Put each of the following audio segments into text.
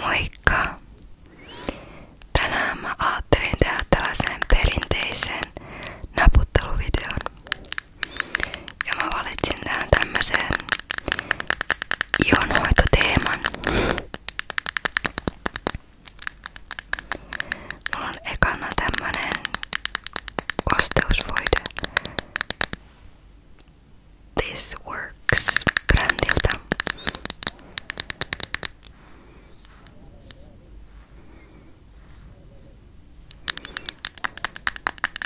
Moikka! Tänään mä ajattelin tehdä tällaisen perinteisen naputteluvideon. Ja mä valitsin tähän tämmöseen ihonhoitoteeman. Mulla on ekana tämmönen kosteusvoide. This Works brändiltä.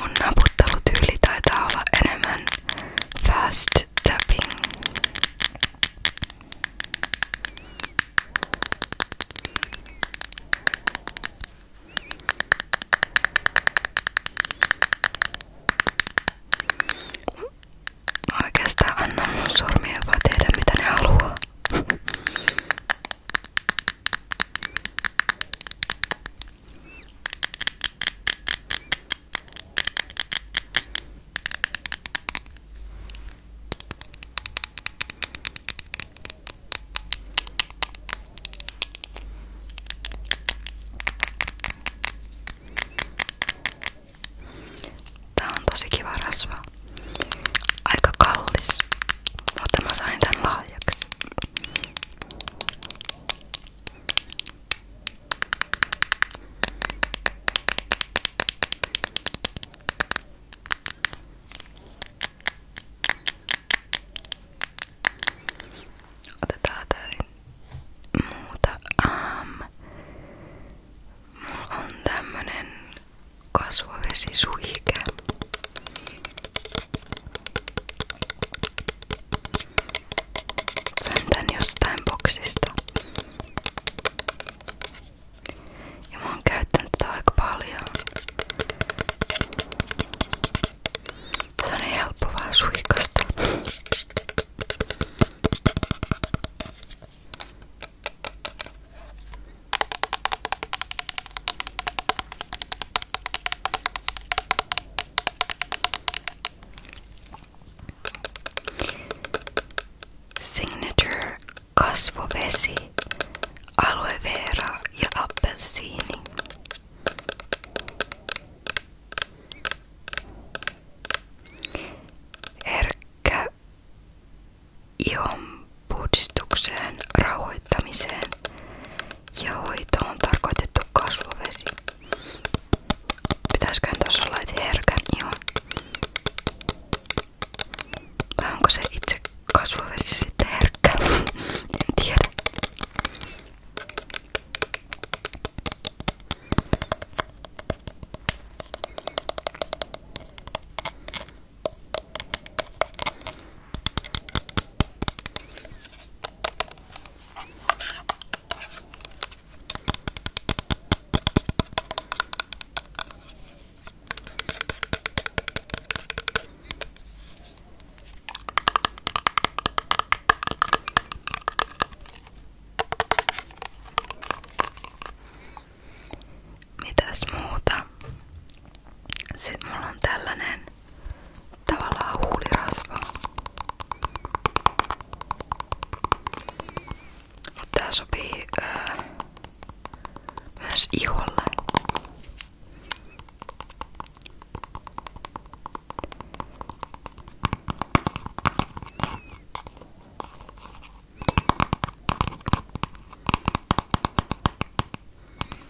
Mun naputtelutyyli taitaa olla enemmän fast tapping. Mä oikeastaan annan mun sormien vaan tehdä mitä ne haluaa. Tää on tosi kiva rasva. Aika kallis, mutta mä sain tän lahjaksi. Otetaan jotain muuta. Um, mulla on tämmönen kasvovesisuihke. Sain tän jostain boksista. Ja mä oon käyttänyt tätä aika paljon. Se on helppo vaan suikasta. Signature kasvovesi, aloe vera ja appelsiini. Erkkä ihon puhdistukseen, rauhoittamiseen ja hoito on tarkoitettu kasvovesi. Pitäisiköhän tuossa olla, että herkän iho? Vai onko se itse kasvovesi sitten herkkä? en tiedä. Mitäs muuta? Sitten mulla on tällainen tavallaan huulirasva. Mutta tää sopii öö, myös iholle.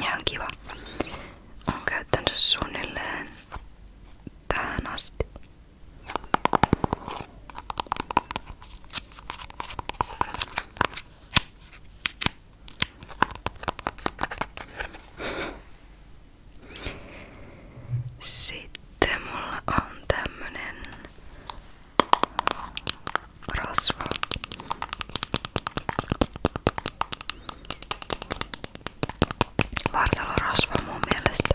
Ihan kiva. Olen käyttänyt suunnilleen tähän asti. Sitten mulla on tämmönen rasva. Vartalorasva mun mielestä.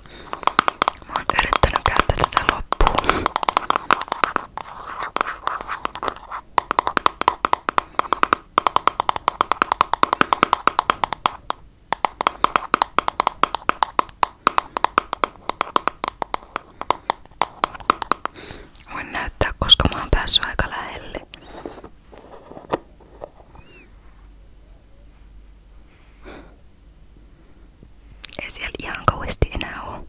Mä oon yrittänyt käyttää tätä loppuun. Voin näyttää, koska mä oon päässyt aika lähelle. Ei siellä ihan kauheasti enää oo.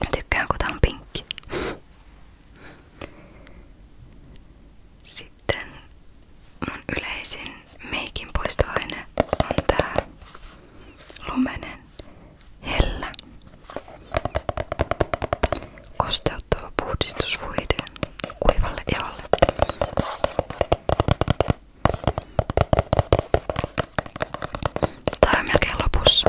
Jag tycker kanske att han pink. Sitten mun yleisin meikin poistoaine on tää lumenen hellä. Kosteuttava puhdistusvuide kuivalle iholle. Tää on melkein lopussa.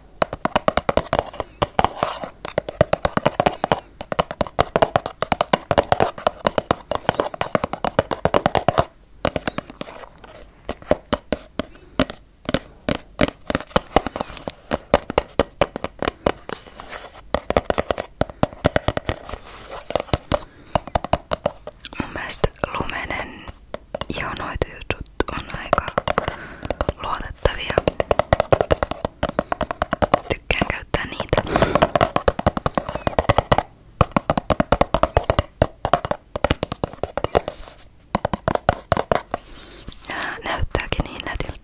Mun mielestä lumenen ja noitujutut on aika luotettavia. Tykkään käyttää niitä. Nää näyttääkin niin nätiltä.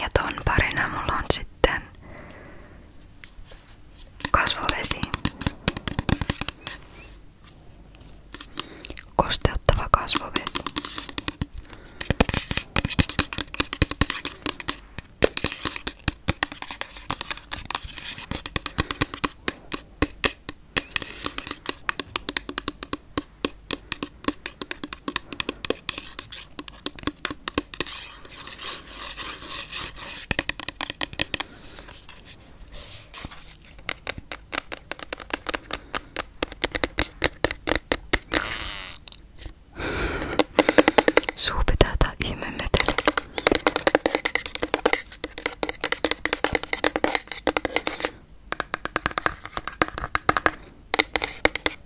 Ja ton parina mulla on sitten kasvovesi. Kosteuttava kasvovesi. Suu pitää tää ihme meteli.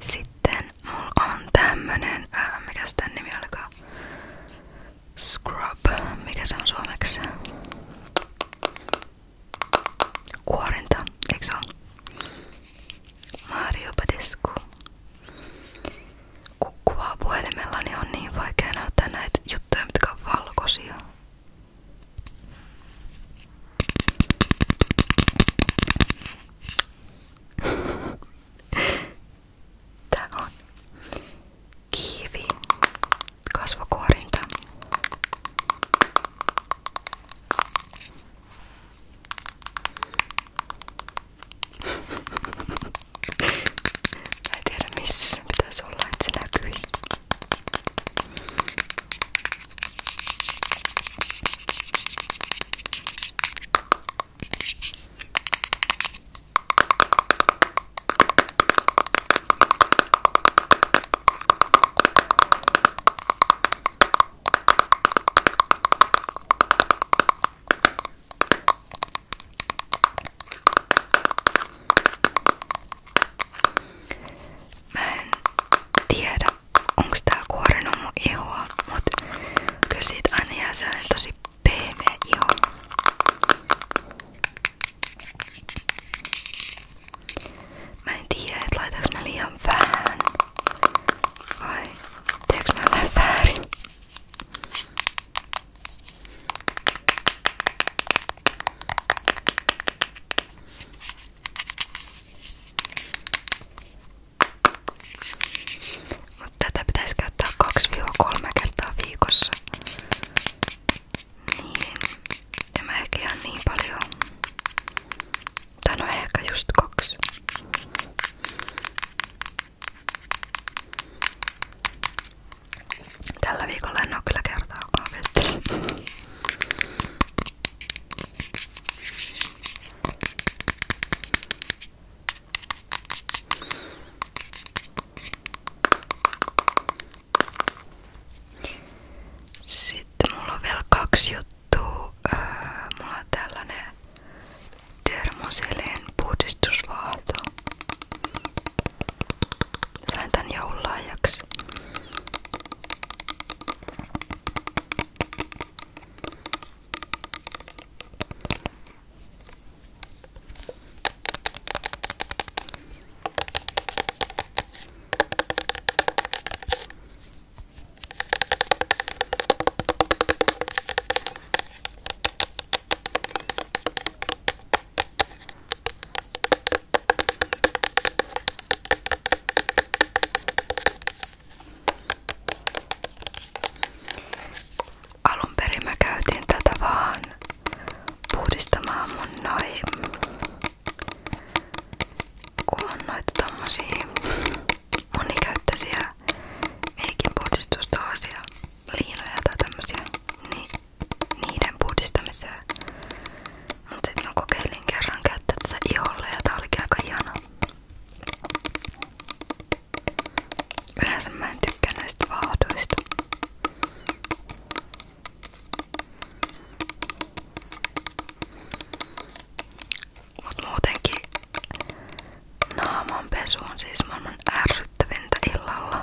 Sitten mulla on tämmönen, ää, äh, mikä sitä nimi olikaan? Scrub, mikä se on suomeksi? kuorinta, eikö ole? Mario Badescu. Kun kuvaa puhelimella, niin on niin vaikea näyttää näitä juttuja, mitkä on valkoisia. Tää on kiivi. Kasva 40 Mä en tiedä missä sen pitäisi olla, että se näkyisi. Mä en tiedä, onks tää kuoren mun ihoa, mut kyllä siitä aina jää sellainen tosi pehmeä iho. Mä en tiedä, että laitaks mä liian vähän vai teeks mä jotain väärin. Mutta tätä pitäisi käyttää 2-3 kertaa viikossa. Niin. Tämä ehkä on niin paljon. Tai no ehkä just kaksi. Tällä viikolla en oo kyllä kertaakaan vettä. Sitten mulla on vielä kaksi juttua. Öö, mulla on tällainen termoseleen puhdistusvaahto. Sain tän joululahjaksi. Alun perin mä käytin tätä vaan puhdistamaan mun noin kun on noita tommosia monikäyttöisiä meikinpuhdistustollasia liinoja tai tämmösiä, niin niiden puhdistamiseen. Mut sit mä kokeilin kerran käyttää tätä iholle ja tää olikin aika ihana. Yleensä mä en tykkää näistä vaahdoista. Mut muutenkin naamanpesu on siis maailman ärsyttävintä illalla.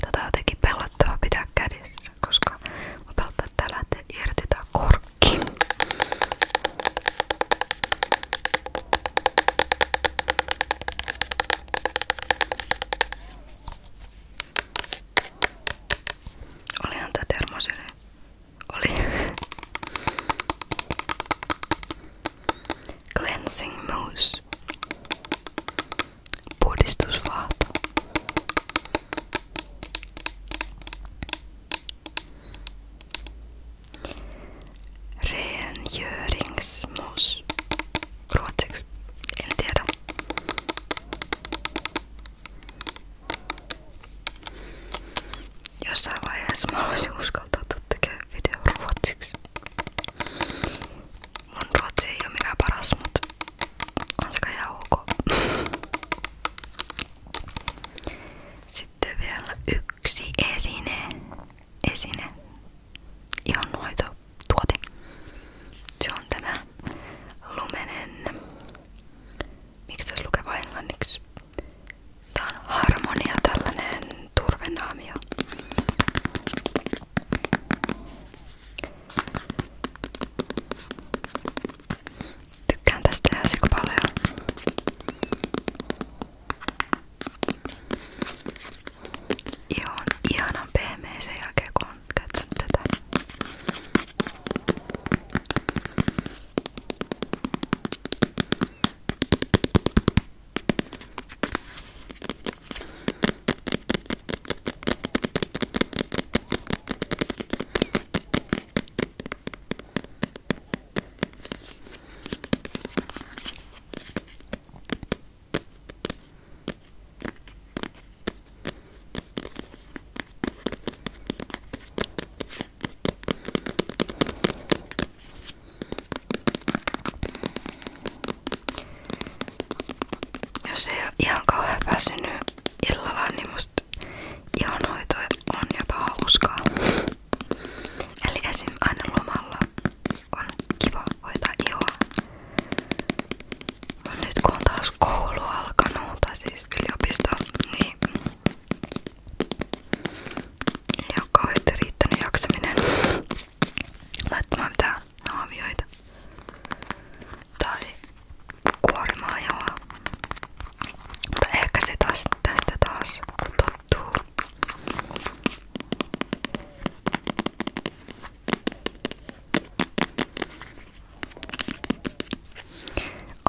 Tätä on jotenkin pelottava pitää kädessä, koska mä pelottaa, että täällä irti tää korkki. Olihan tää termosinen. Oli. Cleansing mousse. Puhdistusvaahto. Rengöringsmos. Ruotsiksi. En tiedä. Jossain vaiheessa mä haluaisin uskaltautua tekemään video ruotsiksi. Mun ruotsi ei oo mikään paras, mutta on se kai ihan ok. Sitten vielä yksi esine. Esine. Ihonhoitotuote. Se on tämä lumenen. Miksi tässä lukee englanniksi? Tää on harmonia, tällainen turvenaamio. Tykkään tästä ihan paljon. Joo, on ihanan pehmeä sen jälkeen kun on käyttänyt tätä. Jos ei ole ihan kauhean väsynyt illalla, niin musta ihonhoito on jopa hauskaa. Eli esim. aina lomalla on kiva hoitaa ihoa. Nyt kun on taas koulu alkanut, tai siis yliopisto, niin ei ole kauheasti riittänyt jaksaminen laittamaan mitään naamioita tai kuorimaa ihoa. Mutta ehkä se taas tästä taas, kun juttua.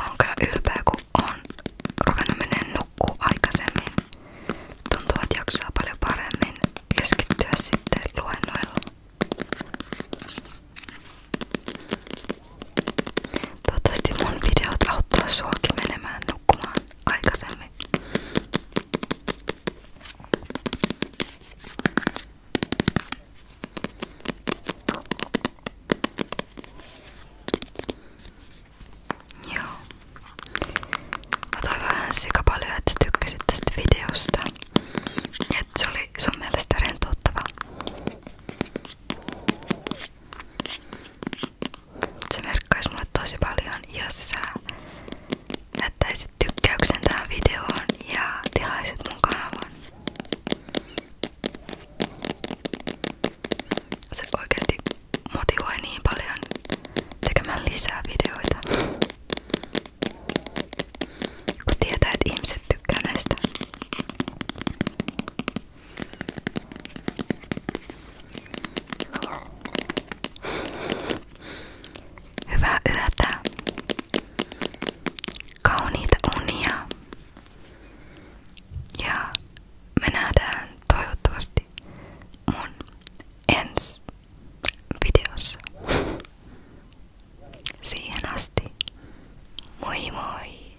Olen kyllä ylpeä, kun olen ruvennut menemään nukkuu aikaisemmin. Tuntuu, että jaksaa paljon paremmin keskittyä sitten luennoilla. Toivottavasti mun videot auttaa suakin menemään nukkumaan aikaisemmin. Joo. Mä toivon vähän sika paljon, että sä tykkäsit tästä videosta. Ja että se oli sun mielestä rentouttava. Se merkkaisi mulle tosi paljon, jos sä jättäisit tykkäyksen tähän videoon ja tilaisit mun kanavan. Se oikeasti motivoi niin paljon tekemään lisää videoita. Kun tietää, että ihmiset tykkää näistä. Hyvää yötä. Kauniita unia. Ja me nähdään toivottavasti mun ensi videossa. Siihen asti. Moi moi!